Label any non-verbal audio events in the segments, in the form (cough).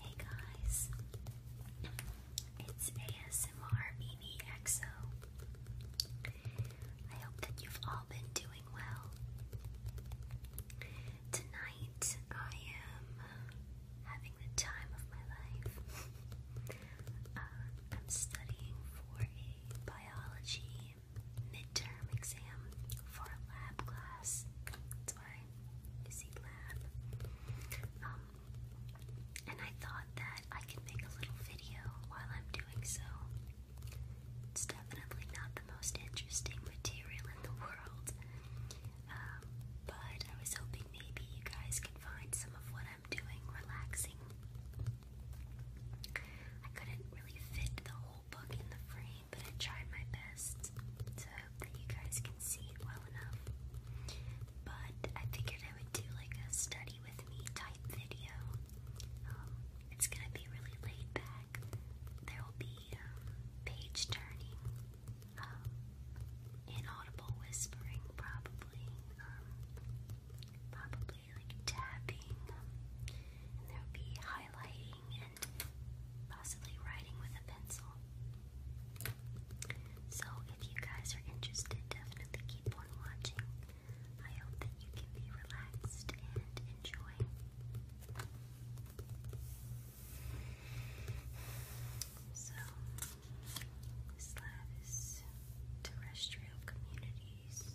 Hey guys, it's ASMR BBXO. I hope that you've all been doing well. Tonight I am uh, having the time of my life. (laughs) Uh, I'm studying for a biology midterm exam for a lab class by Lab. Um, and I thought that I could make a little video while I'm doing so. It's definitely not the most interesting material in the world, um, but I was hoping maybe you guys could find some of what I'm doing relaxing. I couldn't really fit the whole book in the frame but I tried my best to hope that you guys can see it well enough. But I figured I would do like a study with me type video. Um, it's gonna be really laid back. There will be um, page turning, inaudible um, whispering, probably, probably like tapping, and there will be highlighting possibly writing with a pencil. So, if you guys are interested, definitely keep on watching. I hope that you can be relaxed and enjoy. So, Slav terrestrial communities.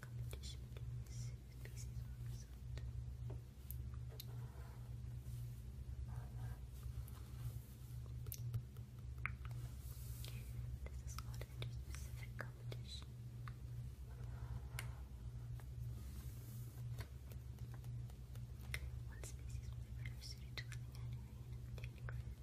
competition between This is called interspecific competition. One species will be better suited to living at an area and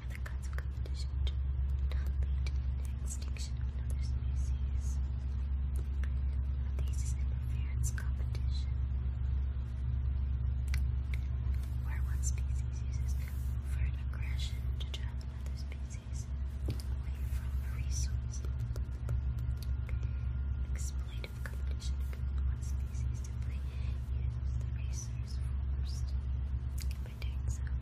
and the cuts of competition to lead to the extinction of another species. This is interference competition, where one species uses overt aggression to drive another species away from a resource. Exploitive competition between one species to play uses the resource first. By doing so,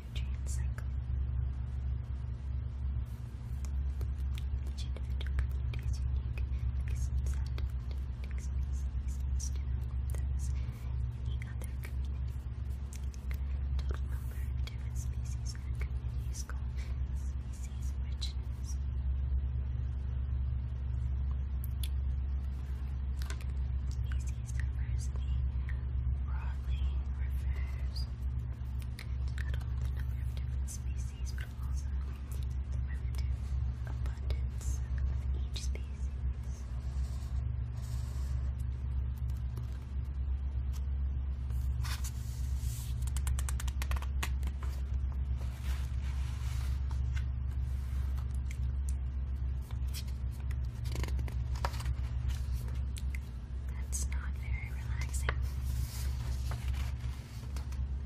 nutrient cycle. Each individual community is unique, reasons and reasons to know those in the other community. Total different species in a community species richness species diversity broadly refers to not only the number of different species but also the relative abundance of each species. Biodiversity that's not very relaxing.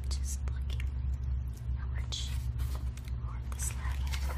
Just looking how much more of the slab I have.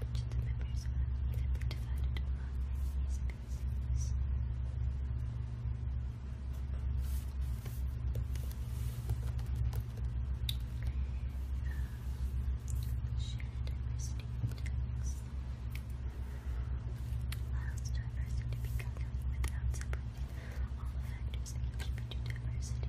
which the members were evenly divided among these concerns. Um, share diversity and dynamics. Allows diversity to become without separating all the factors that contribute to diversity.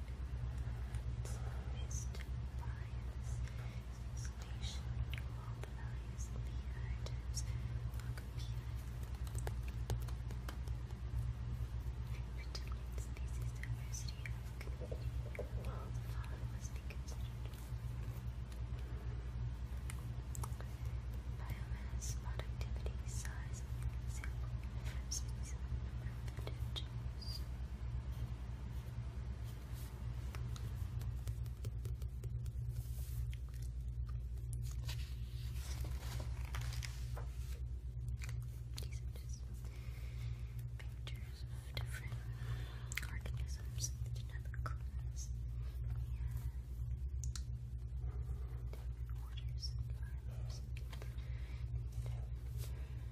Tourist bias is explanation the values and the inheritance species diversity of community. All the following must Biomass, productivity, size of the sample, diversity, number of these are pictures of different organisms that did Different waters Different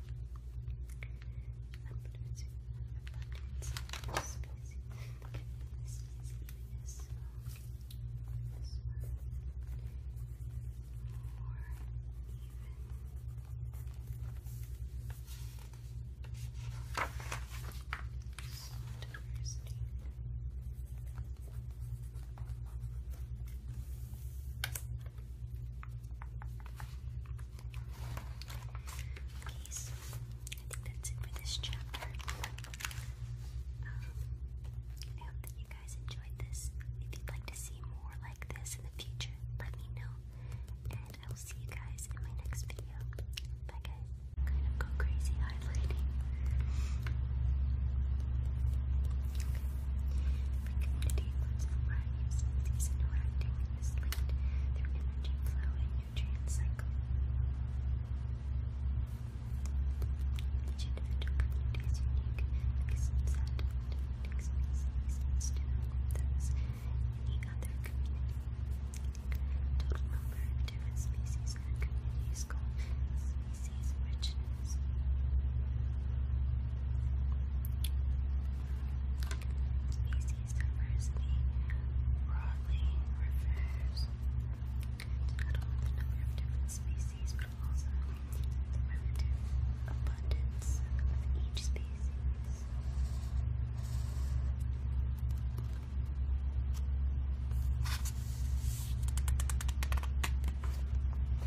abundance, abundance, spicy, goodness, easiness, this one, more even, so diversity. Good. I think that's it for this chapter. Um, I hope that you guys enjoyed this. If you'd like to see more like this in the future, let me know. And I will see you guys in my next video. Bye, guys. go crazy highlighting. The community includes the lives of these interacting in this linked through energy flow and nutrient cycle. Each individual community is unique because it's that takes species to the Total number of different species in a community is called species richness. Feces diversity broadly refers to the number of different species, but also the relative abundance of each species.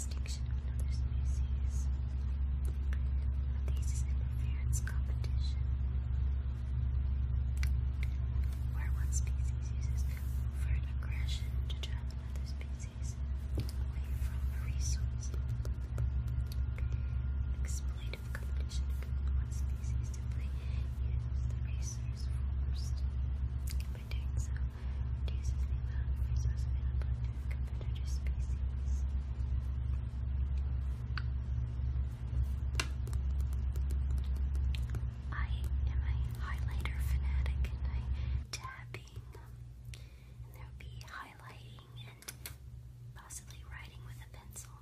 extinction of another species. This is interference competition, where one species uses overt aggression to drive another species away from a resource. Exploitive competition between one species simply uses the resource forced. By doing so, I am a highlighter fanatic and I tapping and there will be highlighting and possibly writing with a pencil.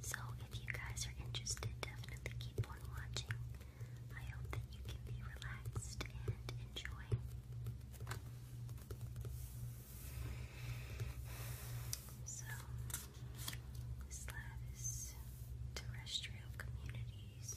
So if you guys are interested, definitely keep on watching. I hope that you can be relaxed and enjoy. So, this lab is terrestrial communities.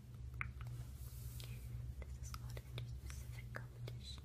This is called interspecific competition.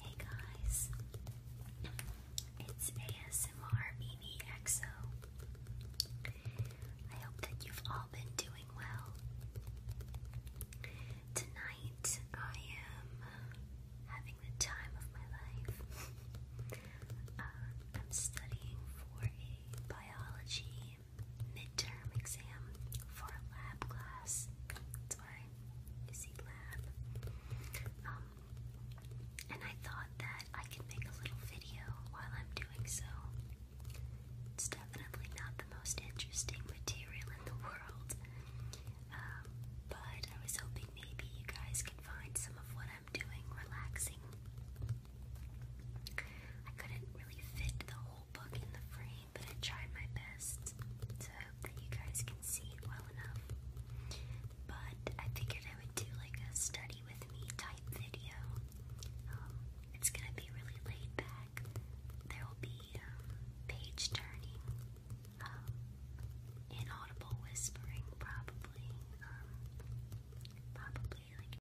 Hey guys, it's ASMR BBXO. I hope that you've all been doing well. Tonight I am uh, having the time of my life. Uh, I'm studying for a biology midterm exam for lab class. That's why lab. Um, and I thought that I could make a little video while I'm doing so. It's definitely not the most interesting material in the world, um, but I was hoping maybe you guys can find some of what I'm doing relaxing. I couldn't really fit the whole book in the frame, but I tried my best to hope that you guys can see it well enough. But I figured I would do like a study with me type video. Um, it's gonna be really laid back. There will be um, page turning, um, inaudible whispering, probably. probably like